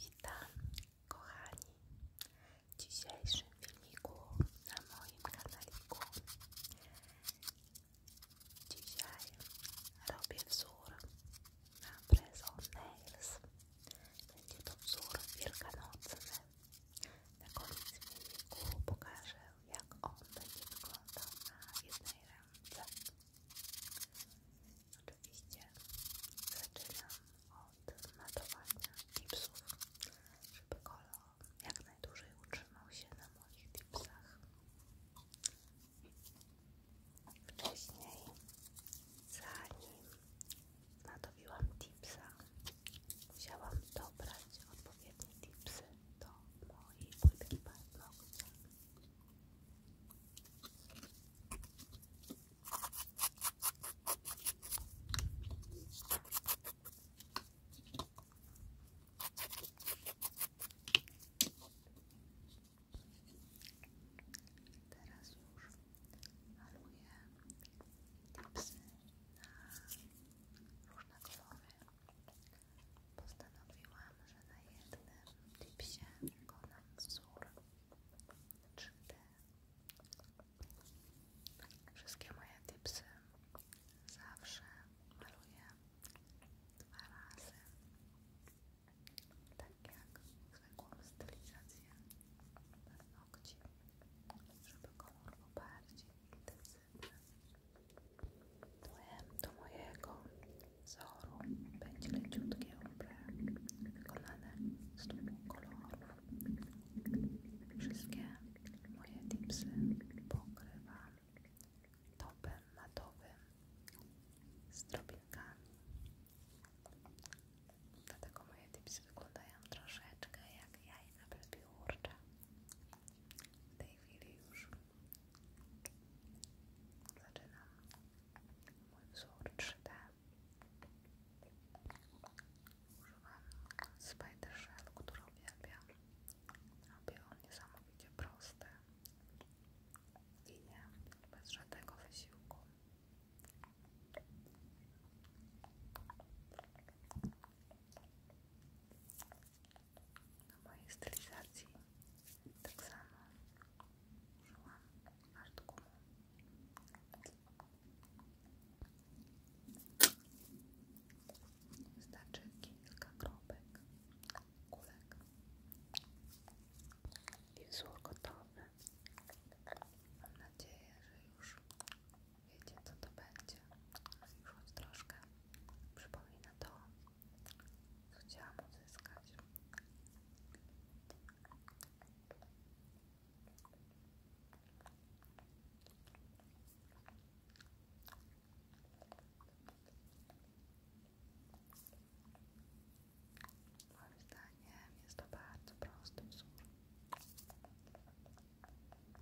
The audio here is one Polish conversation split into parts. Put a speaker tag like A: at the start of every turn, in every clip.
A: Witam kochani w dzisiejszym filmiku na moim kanaliku.
B: Dzisiaj robię wzór na Preson Nails. Będzie to wzór wielkanocny. Na koniec filmiku pokażę jak on będzie wyglądał na jednej ręce. Oczywiście zaczynam od matowania tipsów,
A: żeby kolor jak najdłużej utrzymał się na moich tipsach. Wcześniej, zanim natowiłam tipsa, musiałam dobrać odpowiednie tipsy do mojej płytki paznokcia. Teraz już maluję tipsy na różne kolory postanowiłam, że na jednym tipsie wykonam wzór 3D. Wszystkie moje tipsy zawsze maluję dwa razy. Tak jak zwykłą stylizację paznokci, żeby kolor był bardziej intensywny. Tłem do mojego wzoru będzie leciutkie ombre wykonane z dwóch kolorów. Wszystkie moje tipsy pokrywam topem matowym z drobinkami. Dlatego moje tipsy wyglądają troszeczkę jak jajna bez W tej chwili już Zaczynam mój wzór 3D. Używam Spider Shell, który uwielbiam. Robię on niesamowicie prosty. nie bez żadnego wysiłku na mojej stylizacji tak samo użyłam aż do kilka kropek, kulek i wzór gotowy. Mam nadzieję, że już Wiecie to będzie? Już wam troszkę przypomina to, co chciałam uzyskać. Moim zdaniem jest to bardzo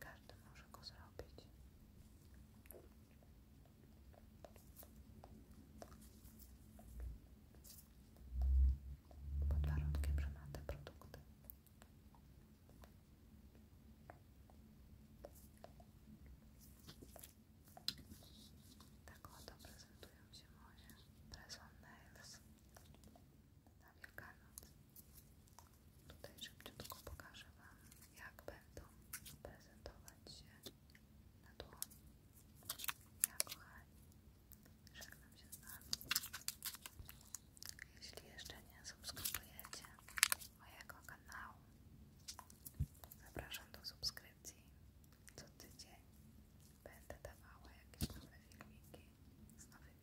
A: Każdy może go zrobić. Pod warunkiem, te produkty. Tak oto prezentują się moje Press Tutaj szybciutko pokażę Wam, jak będą prezentować się na dłoni. Ja kochani, żegnam się z Wami. Jeśli jeszcze nie subskrybujecie mojego kanału, zapraszam do subskrypcji. Co tydzień będę dawała jakieś nowe filmiki z nowymi